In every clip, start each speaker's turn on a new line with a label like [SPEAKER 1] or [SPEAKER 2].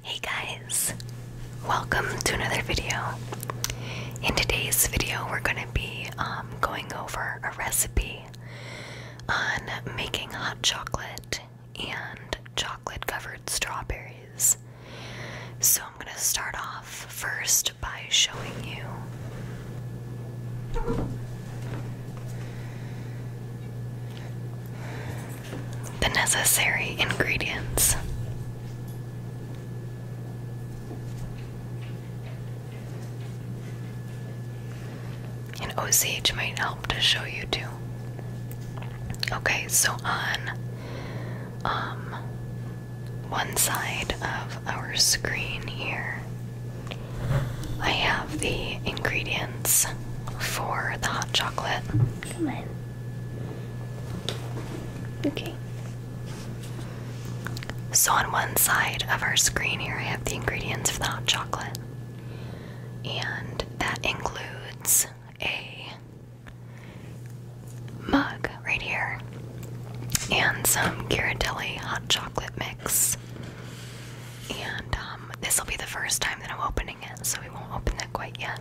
[SPEAKER 1] Hey guys, welcome to another video. In today's video, we're going to be um, going over a recipe on making hot chocolate and chocolate covered strawberries. So, I'm going to start off first by showing you the necessary ingredients. And OCH might help to show you too. Okay, so on um, one side of our screen here, I have the ingredients for the hot chocolate. Come on. Okay. So, on one side of our screen here, I have the ingredients for the hot chocolate. And that includes a mug right here and some Ghirardelli hot chocolate mix and uh, um, this will be the first time that I'm opening it, so we won't open that quite yet.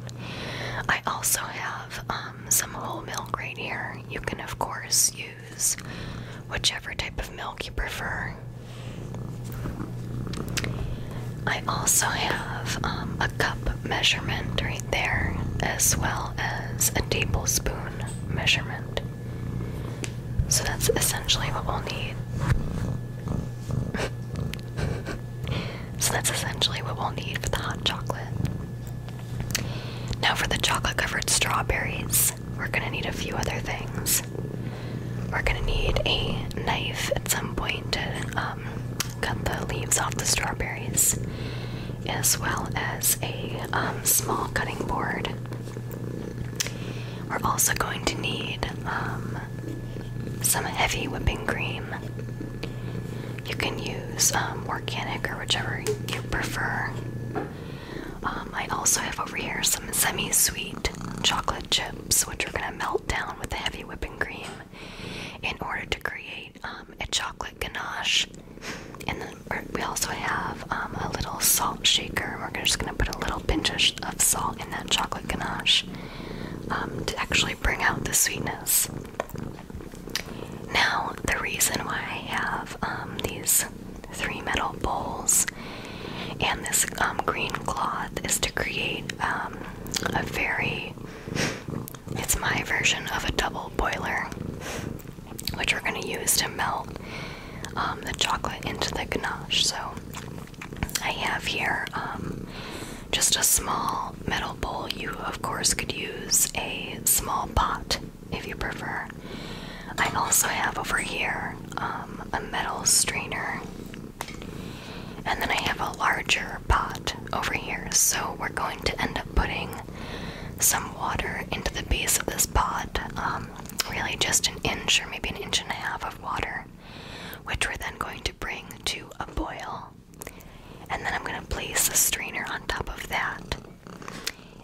[SPEAKER 1] I also have um, some whole milk right here. You can, of course, use whichever type of milk you prefer. I also have um, a cup measurement right there, as well as a tablespoon measurement. So that's essentially what we'll need. So that's essentially what we'll need for the hot chocolate. Now, for the chocolate covered strawberries, we're gonna need a few other things. We're gonna need a knife at some point to um, cut the leaves off the strawberries, as well as a um, small cutting board. We're also going to need um, some heavy whipping cream. You can use um, organic or whichever you prefer. Um, I also have over here some semi sweet chocolate chips, which are going to melt down with the heavy whipping cream in order to create um, a chocolate ganache. And we also have a little salt shaker. We're just going to put a little pinch of salt in that chocolate ganache. Um, to actually bring out the sweetness. Now, the reason why I have um, these three metal bowls and this um, green cloth is to create a very, it's my version of a double boiler, which we're going to use to melt the chocolate into the ganache. So I have here um, just a small metal bowl. You, of course, could use a small pot if you prefer. I also have over here um, a metal strainer, and then I have a larger pot over here. So we're going to end up putting some water into the base of this pot. Um, really, just an inch or maybe an inch and a half of water which we're then going to bring to a boil. And then I'm going to place a strainer on top of that.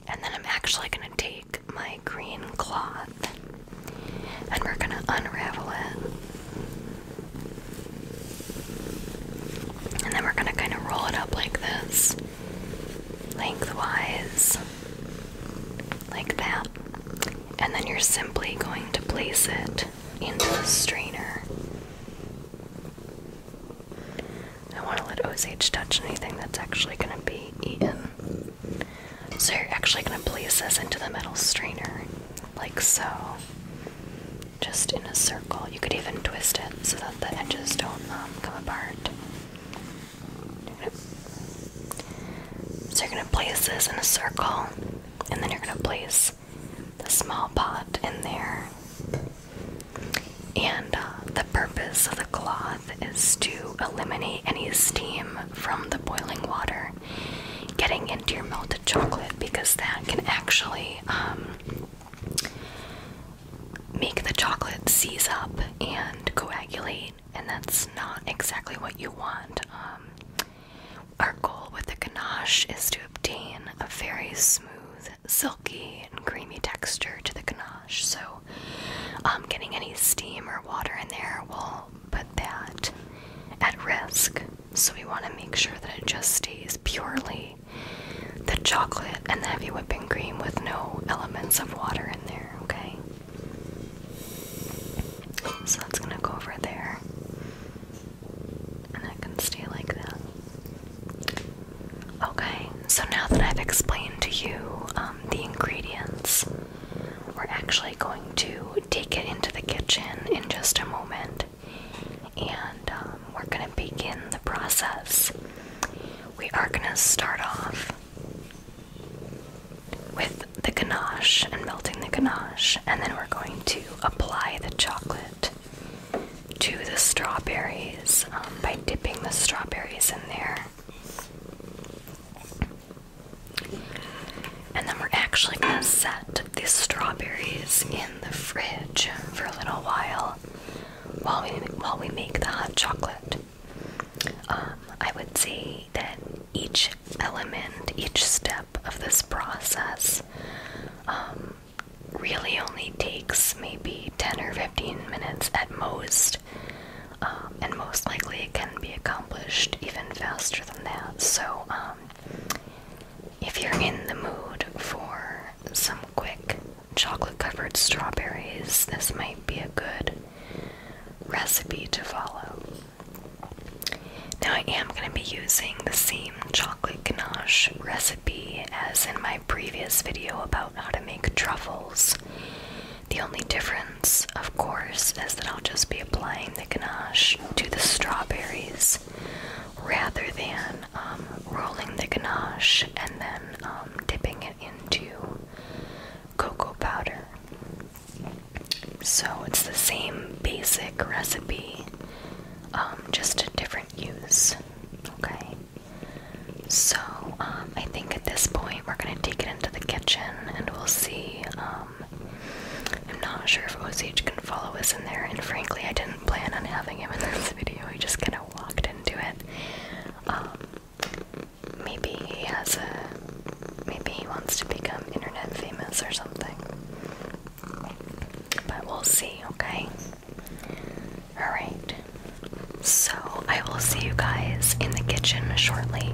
[SPEAKER 1] And then I'm actually going to take my green cloth and we're going to unravel it. And then we're going to kind of roll it up like this, lengthwise, like that. And then you're simply going to place it into the strainer. I want to let Osage touch anything that's actually going to be eaten. So you're actually going to place this into the metal strainer, like so. Just in a circle. You could even twist it so that the edges don't um, come apart. so you're going to place this in a circle, and then you're going to place the small pot in there. And uh, the purpose of the cloth is to eliminate any steam from the boiling water getting into your melted chocolate because that can actually um, make the chocolate seize up and coagulate, and that's not exactly what you want. Um, our goal with the ganache is to obtain a very smooth, silky, and creamy texture to the ganache. So, um, getting any steam or water in there will put that at risk. So, we want to make sure that it just stays purely the chocolate and the heavy whipping cream with no elements of water in there, okay? So that's gonna go over there and I can stay like that. Okay, so now that I've explained to you um, the ingredients, we're actually going to take it into the kitchen in just a moment and um, we're going to begin the process. We are going to start off with the ganache and melting the ganache, and then we're going to apply the chocolate to the strawberries um, by dipping the strawberries in there. And then we're actually going to set the strawberries in the fridge for a little while while we, while we make the hot chocolate. Um, I would say that each element, each step of this process um, really only takes maybe 10 or 15 minutes at most, um, and most likely it can be accomplished even faster than that. So, um, if you're in the mood for some quick chocolate covered strawberries, this might be a good recipe to follow. Now I am going to be using the same chocolate ganache recipe as in my previous video about how to make truffles. The only difference, of course, is that I'll just be applying the ganache to the strawberries rather than um, rolling the ganache and then um, dipping it into cocoa powder. So it's the same basic recipe, um, just a different use. Okay. So um, I think at this point we're gonna take it into the kitchen and we'll see. Um, I'm not sure if Osage can follow us in there, and frankly, I didn't plan on having him in this video. He just kind of walked into it. maybe he has a. Maybe he wants to become internet famous or something. But we'll see, okay? Alright. So I will see you guys in the kitchen shortly.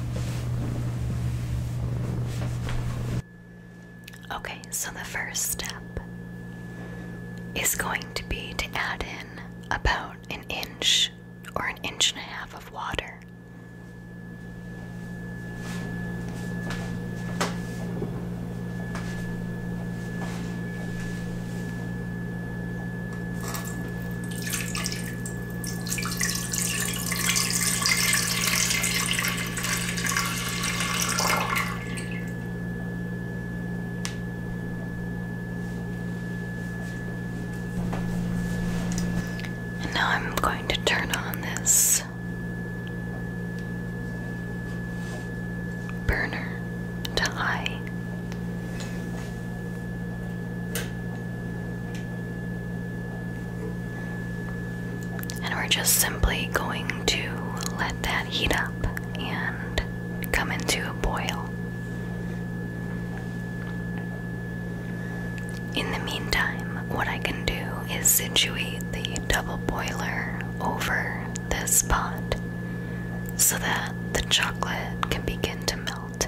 [SPEAKER 1] Okay, so the first step is going to be to add in about an inch or an inch and a half of water now I'm going to turn on this burner to high. And we're just simply going to let that heat up and come into a boil. In the meantime, what I can do is situate the double boiler over this pot so that the chocolate can begin to melt.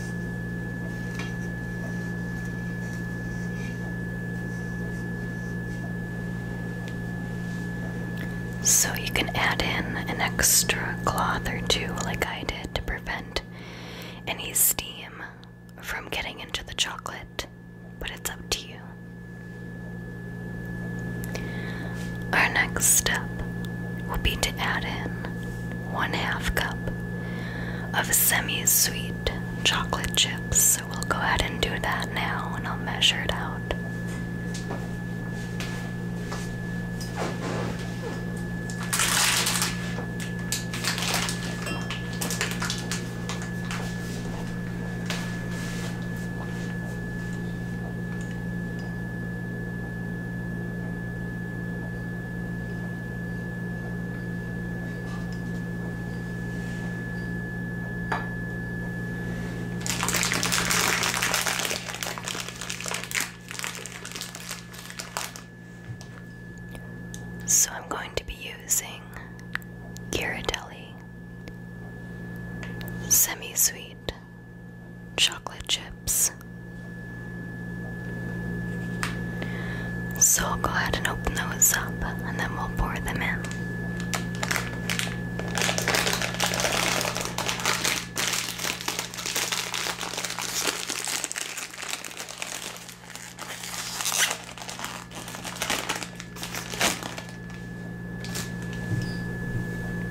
[SPEAKER 1] So you can add in an extra cloth or two, like I did, to prevent any steam from getting into the chocolate, but it's up to you. Our next step will be to add in one half cup of semi-sweet chocolate chips. So we'll go ahead and do that now and I'll measure it out. So I'm going to be using Ghirardelli Semi Sweet chocolate chips. So I'll go ahead and open those up and then we'll pour them in.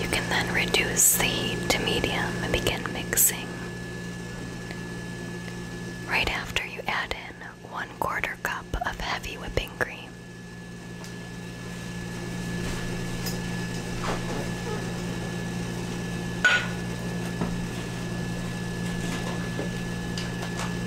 [SPEAKER 1] You can then reduce the heat to medium and begin mixing. Right after you add in one quarter cup of heavy whipping cream.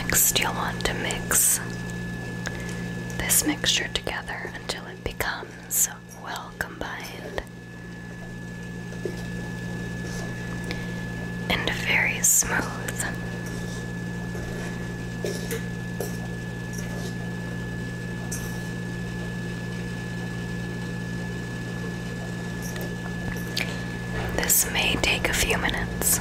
[SPEAKER 1] Next, you'll want to mix this mixture together until it becomes well combined and very smooth. This may take a few minutes.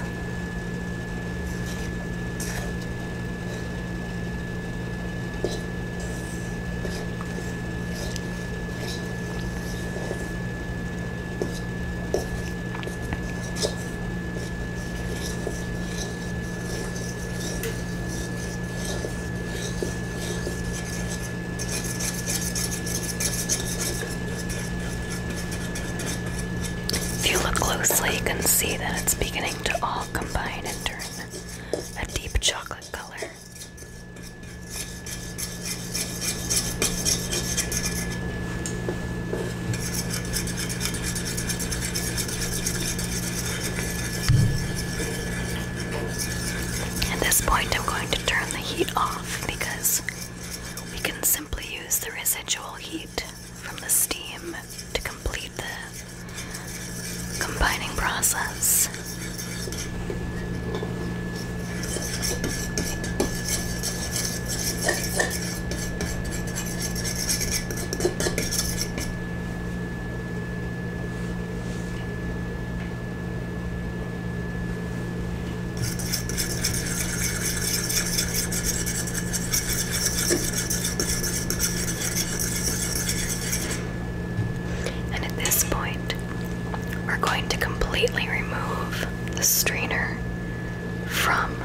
[SPEAKER 1] If you look closely, you can see that it's beginning to all combine and turn a deep chocolate color. At this point, I'm going to turn the heat off because we can simply use the residual heat from the steam to complete the combining process. And at this point, we're going to completely remove the strainer from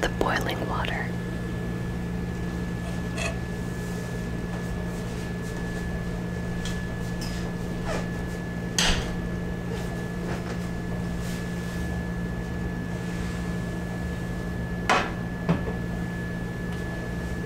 [SPEAKER 1] the boiling water.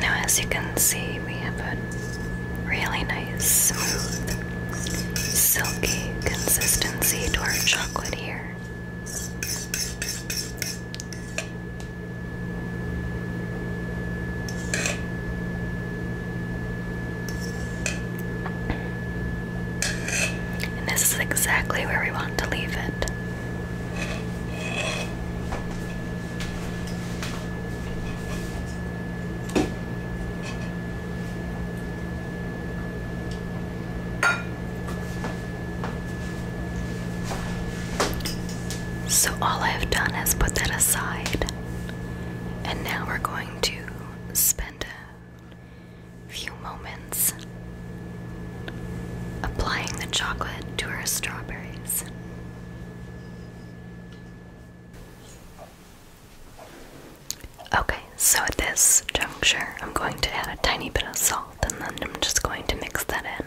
[SPEAKER 1] Now, as you can see, we have a really nice, smooth, silky consistency to our chocolate here. And this is exactly where we want to leave it. So, all I've done is put that aside, and now we're going to spend few moments, applying the chocolate to her strawberries. Okay, so at this juncture, I'm going to add a tiny bit of salt and then I'm just going to mix that in.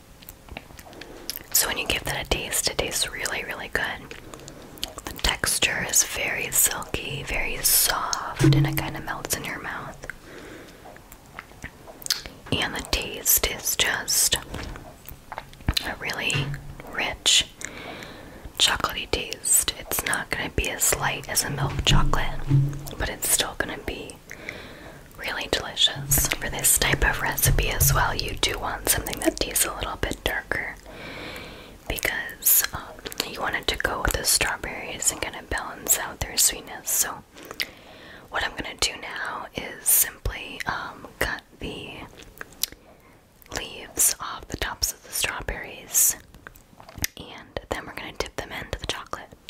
[SPEAKER 1] So when you give that a taste, it tastes really, really good. The texture is very silky, very soft, and it kind of melts in your mouth. And the taste is just a really rich chocolatey taste. It's not going to be as light as a milk chocolate, but it's still going to be really delicious. For this type of recipe as well, you do want something that tastes a little bit darker because um, you want it to go with the strawberries and kind of balance out their sweetness. So, what I'm going to do now is simply um, cut the leaves off the tops of the strawberries and then we're going to dip them into the chocolate.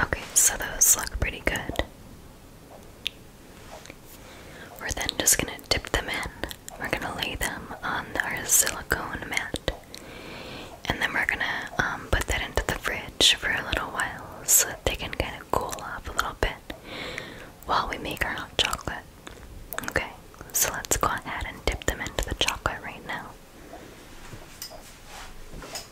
[SPEAKER 1] Okay, so those look pretty good. We're then just going to dip them in. We're going to lay them on our silicone mat. And then we're going to um, put that into the fridge for a little while so that they can kind of cool off a little bit while we make our hot chocolate. Okay, so let's go ahead and dip them into the chocolate right now.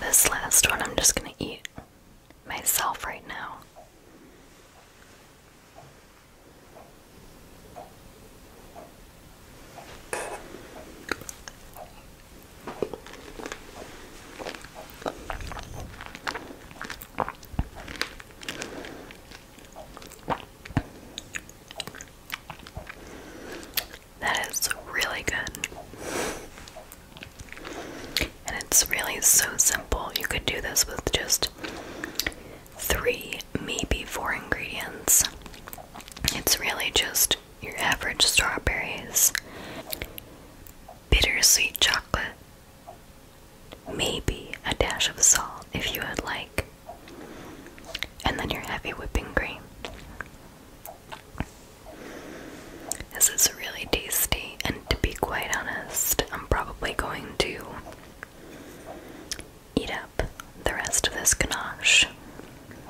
[SPEAKER 1] This last one I'm just going to eat myself right now. That is really good. And it's really so simple. You could do this with just three, maybe four ingredients. It's really just your average strawberries, bittersweet chocolate, maybe a dash of salt if you would like, and then your heavy whipping cream. This is really tasty, and to be quite honest, I'm probably going to eat up the rest of this ganache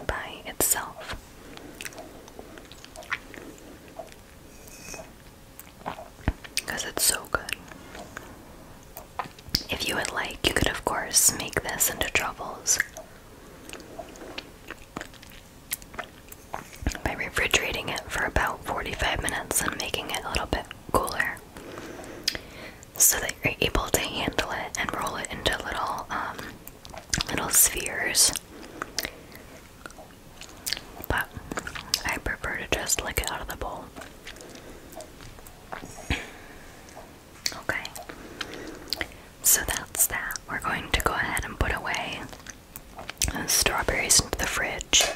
[SPEAKER 1] by itself. Because it's so good. If you would like, you could, of course, make this into truffles by refrigerating it for about 45 minutes and making it a little bit cooler so that you're able to handle it and roll it into little um, little spheres but I prefer to just lick it out of the bowl okay so that's that we're going to go ahead and put away strawberries into the fridge,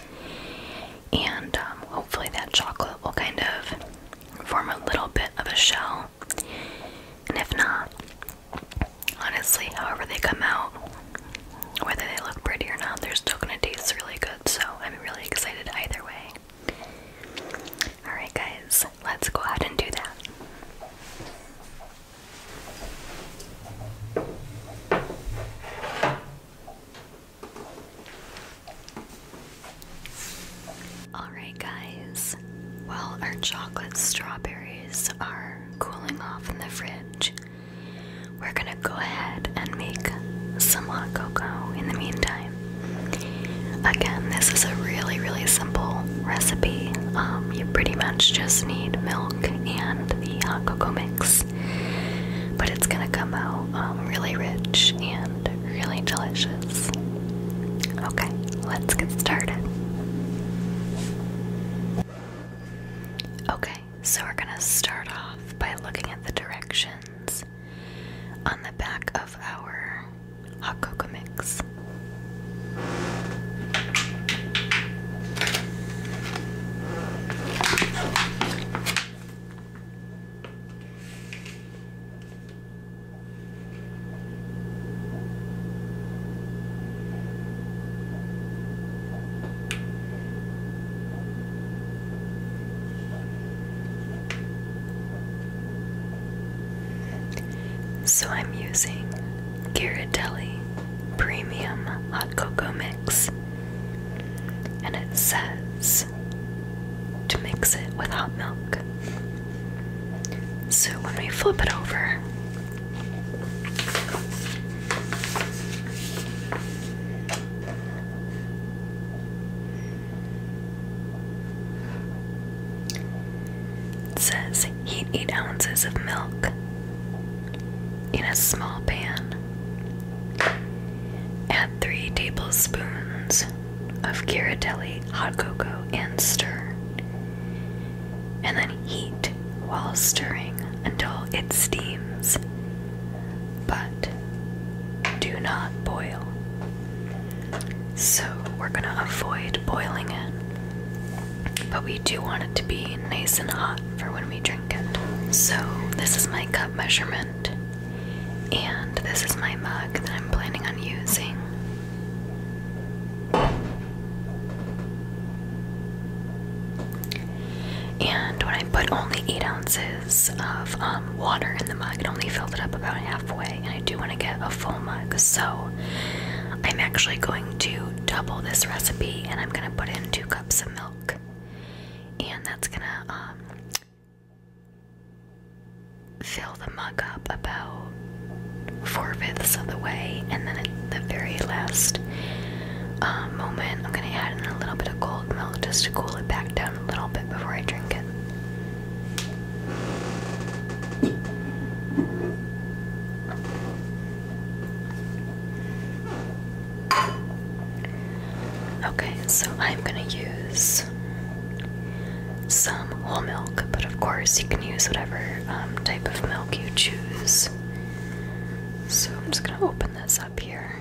[SPEAKER 1] and um, hopefully that chocolate will kind of form a little bit of a shell. And if not, honestly, however they come out, whether they look pretty or not, they're still gonna taste really good. So I'm really excited either way. Alright, guys, let's go ahead and do that. Alright, guys, while our chocolate strawberries are cooling off in the fridge, we're gonna go ahead and make some hot cocoa in the meantime. Again, this is a really, really simple recipe. Um, you pretty much just need milk and the hot cocoa mix, but it's gonna come out um, really rich and really delicious. Okay, let's get started. Okay, so we're gonna start off by looking at the directions on the back of our hot cocoa mix. So I'm using Ghirardelli Premium Hot Cocoa Mix. And it says to mix it with hot milk. So when we flip it over, says Heat 8 ounces of milk in a small pan. Add 3 tablespoons of Ghirardelli hot cocoa and stir. And then heat while stirring until it steams. But do not boil. So we're going to avoid boiling it but we do want it to be nice and hot for when we drink it. So, this is my cup measurement, and this is my mug that I'm planning on using. And when I put only 8 ounces of um, water in the mug, it only filled it up about halfway, and I do want to get a full mug, so I'm actually going to double this recipe, and I'm gonna put in two cups of milk, and that's gonna um, fill the mug up about four fifths of the way, and then at the very last um, moment, I'm gonna add in a little bit of cold milk just to cool it back down a little bit before I drink it. Okay, so I'm gonna use some whole milk, but of course you can use whatever um, type of milk you choose. So I'm just gonna open this up here.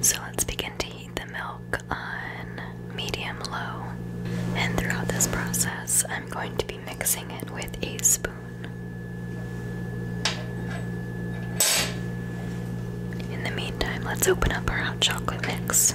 [SPEAKER 1] So let's begin to heat the milk on medium low. And throughout this process, I'm going to be mixing it with a spoon. In the meantime, let's open up our hot chocolate mix.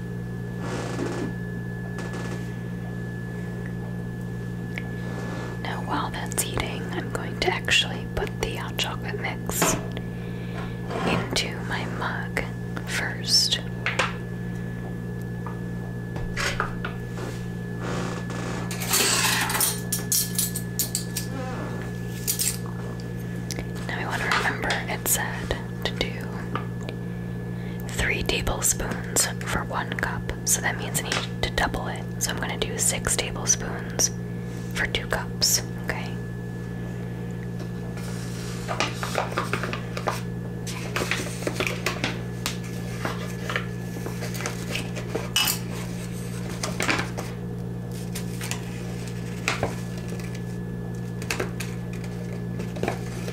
[SPEAKER 1] Now, while that's heating, I'm going to actually put the chocolate mix into my mug first. Now, I want to remember it said to do three tablespoons for one cup. So that means I need to double it. So I'm going to do six tablespoons for two cups. Okay.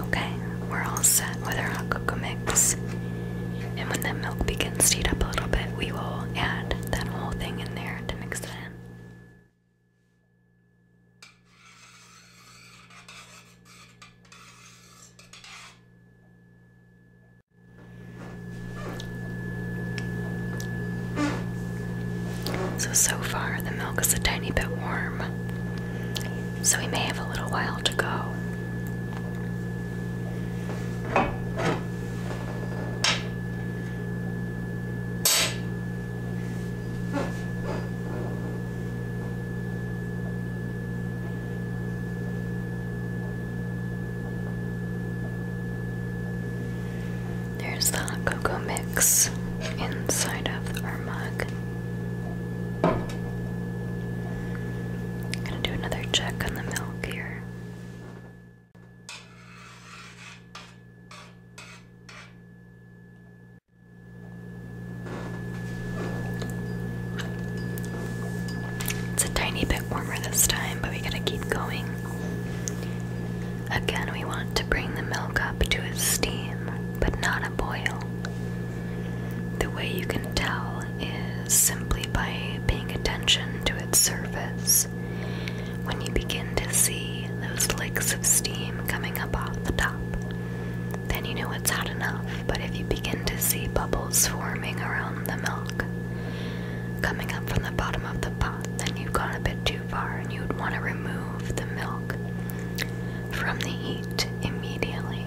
[SPEAKER 1] Okay, we're all set with our hot cocoa mix. And when that milk begins to heat up a little bit, we will add that whole thing in there to mix it in. So, so far the milk is a tiny bit warm, so we may have a little while to go. There's the cocoa mix inside of our mug. gonna do another check on the milk here. It's a tiny bit warmer this time, but we gotta keep going. Again, we want to bring the milk up to a steam, but not a boil. The way you can tell is simply by paying attention to its surface. When you begin to see those licks of steam coming up off the top, then you know it's had enough. But if you begin to see bubbles forming around the milk coming up from the bottom of the pot, then you've gone a bit too far and you would want to remove the milk from the heat immediately.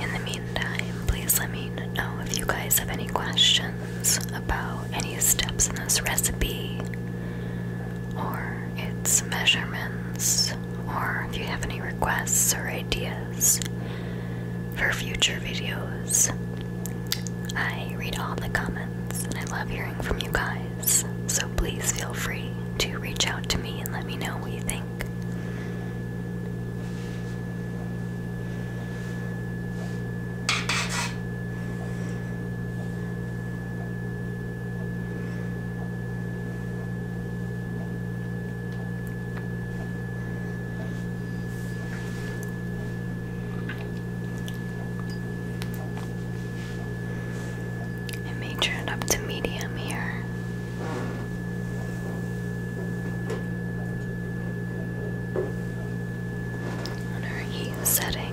[SPEAKER 1] In the meantime, please let me know if you guys have any questions about any steps in this recipe, or its measurements, or if you have any requests or ideas for future videos. I read all the comments and I love hearing from you guys, so please feel free to reach out to me and let me know what you think. I may turn up to medium here. What are you setting?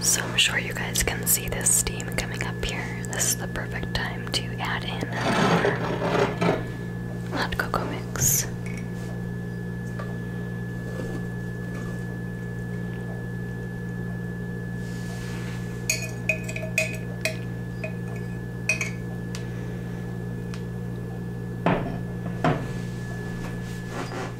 [SPEAKER 1] So I'm sure you guys can see this steam coming up here. This is the perfect time to add in our hot cocoa mix.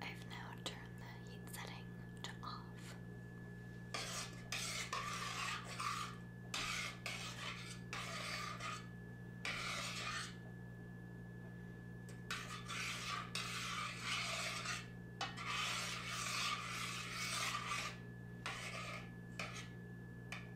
[SPEAKER 1] I've now turned the heat setting to off.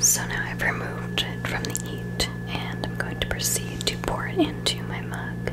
[SPEAKER 1] So now I've removed it from the heat and I'm going to proceed to pour it into my mug.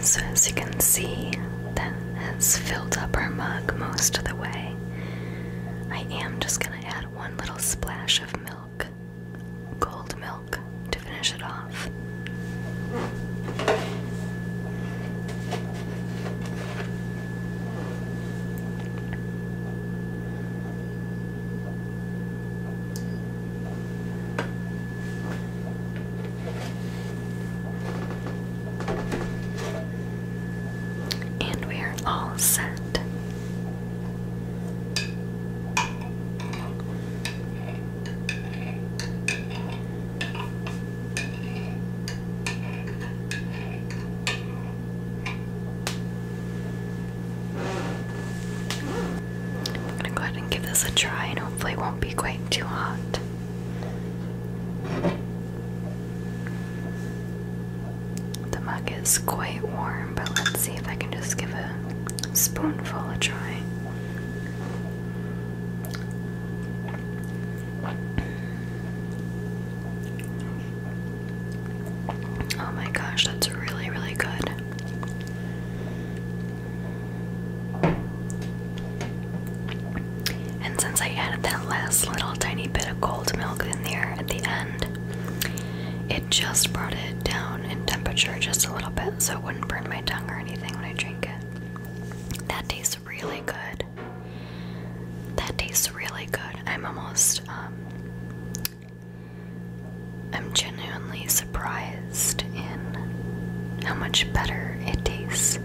[SPEAKER 1] So, as you can see, that has filled up our mug most of the way. I am just going to add one little splash of milk, cold milk, to finish it off. And we are all set. I'm gonna go ahead and give this a try and hopefully it won't be quite too hot. The mug is quite warm, but let's see if I can just give a spoonful a try. Oh my gosh, that's really, really good. And since I added that last little tiny bit of cold milk in there at the end, it just brought it down in temperature just a little bit so it wouldn't burn my tongue or anything when I drink it. That tastes really good. That tastes really good. I'm almost um, I'm genuinely surprised in how much better it tastes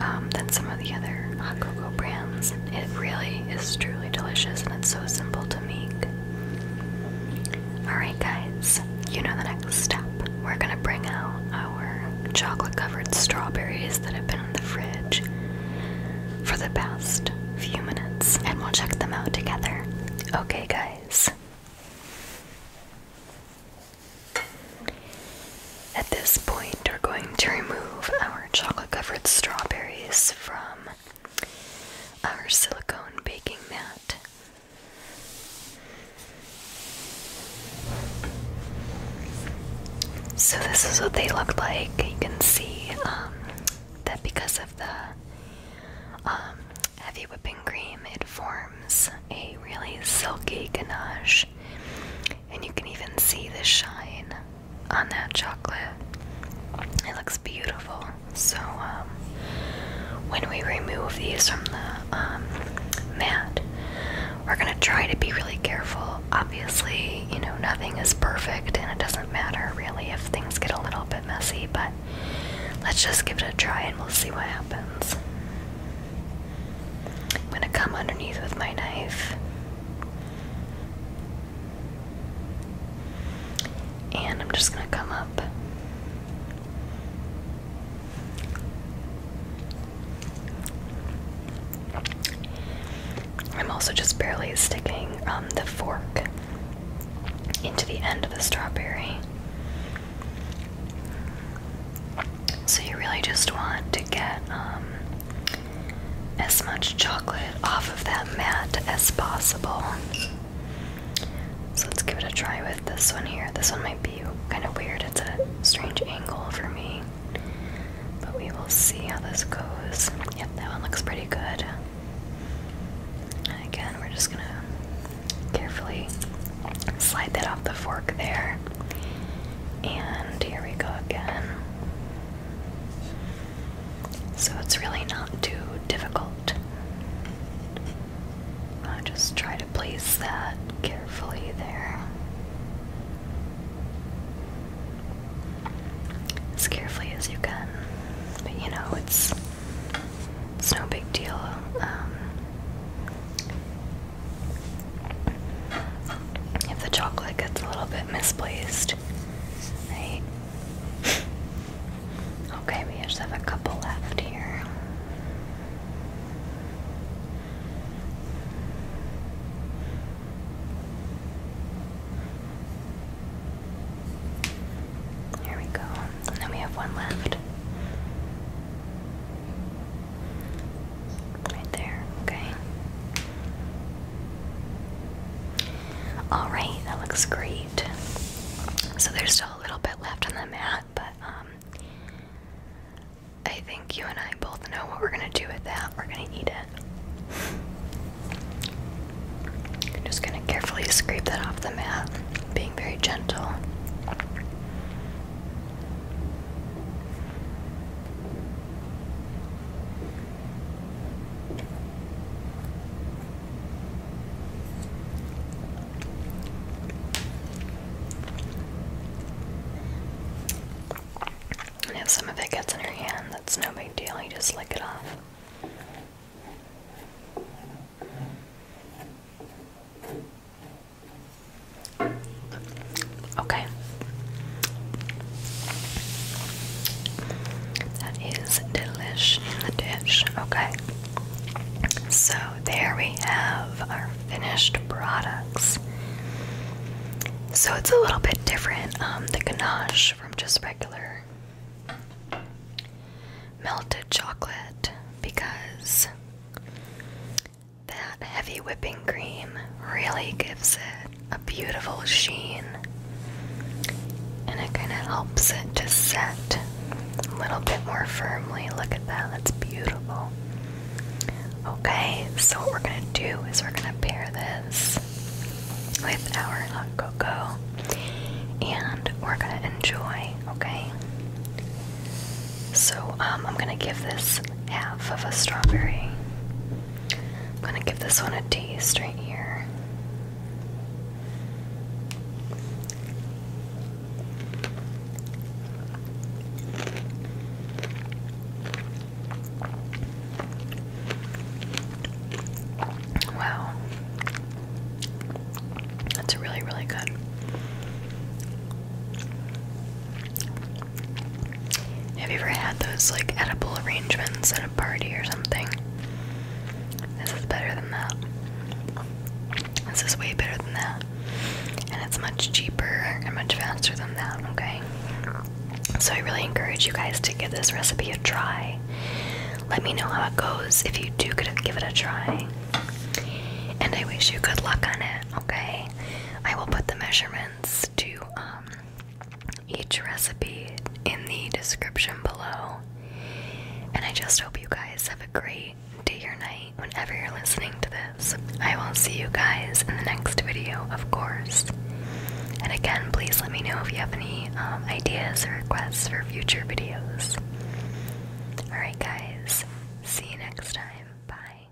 [SPEAKER 1] um, than some of the other hot cocoa brands. It really is truly delicious and it's so simple to make. Alright, guys, you know the next step. We're gonna bring out our chocolate covered strawberries that have been in the fridge for the past few minutes and we'll check them out together. Okay, guys. At this point, we're going to remove our chocolate covered strawberries from our silicone baking mat. So, this is what they look like. You can see um, that because of the um, heavy whipping cream, it forms a really silky ganache. And you can even see the shine on that chocolate. It looks beautiful. So, um, when we remove these from the um, mat, we're gonna try to be really careful obviously, you know, nothing is perfect and it doesn't matter really if things get a little bit messy, but let's just give it a try and we'll see what happens. I'm going to come underneath with my knife. And I'm just going to come up. I'm also just barely sticking um, the fork into the end of the strawberry. So you really just want to get um, as much chocolate off of that mat as possible. So let's give it a try with this one here. This one might be kind of weird. It's a strange angle for me. But we will see how this goes. Yep, that one looks pretty good. And again, we're just gonna carefully slide that off the fork there. And here we go again. So it's really not too difficult. just try to place that carefully there as carefully as you can. But you know, it's it's no big deal. Um, if the chocolate gets a little bit misplaced, right? okay, we just have a couple left here. There we go. And then we have one left. Right there, okay. Alright, that looks great. So there's still a little bit left on the mat, but um, I think you and I both know what we're gonna do with that. We're gonna eat it. I'm just gonna carefully scrape that off the mat, being very gentle. And if some of it gets in your hand, that's no big deal, you just lick it off. Okay. That is delish in the dish. Okay. So there we have our finished products. So it's a little bit different. Um, the ganache from just regular melted chocolate because that heavy whipping cream really gives it a beautiful sheen and it kind of helps it to set a little bit more firmly. Look at that, that's beautiful. Okay, so what we're going to do is we're going to pair this with our hot cocoa and we're gonna enjoy, okay? So, um, I'm gonna give this half of a strawberry. I'm gonna give this one a taste right here. Wow. That's really, really good. Have you ever had those like edible arrangements at a party or something? This is better than that. This is way better than that. And it's much cheaper and much faster than that, okay? So I really encourage you guys to give this recipe a try. Let me know how it goes if you do give it a try. And I wish you good luck on it, okay? I will put the measurements to um, each recipe in the description below. And I just hope you guys have a great day or night whenever you're listening to this. I will see you guys in the next video, of course. And again, please let me know if you have any um, ideas or requests for future videos. Alright, guys, see you next time. Bye.